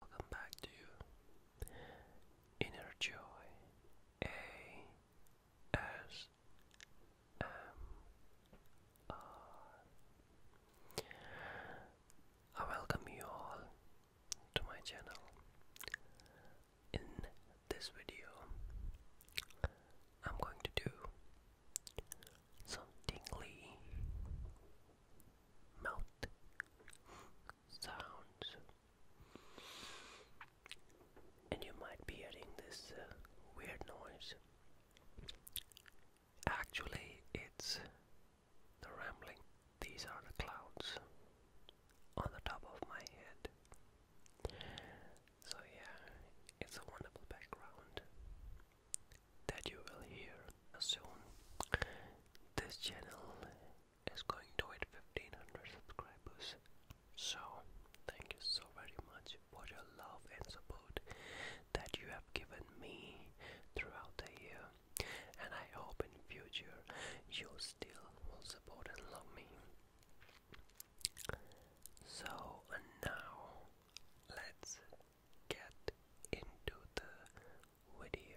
Welcome back to Inner Joy A S M R. I welcome you all to my channel. In this video, I'm going to do some mouth sounds. And you might be hearing this uh, weird noise. Actually, it's the rambling. These are the clouds on the top of my head. So, yeah, it's a wonderful background that you will hear soon. This channel is going to 1500 subscribers. So, thank you so very much for your love and support that you have given me throughout the year. And I hope in future you still will support and love me. So, now let's get into the video.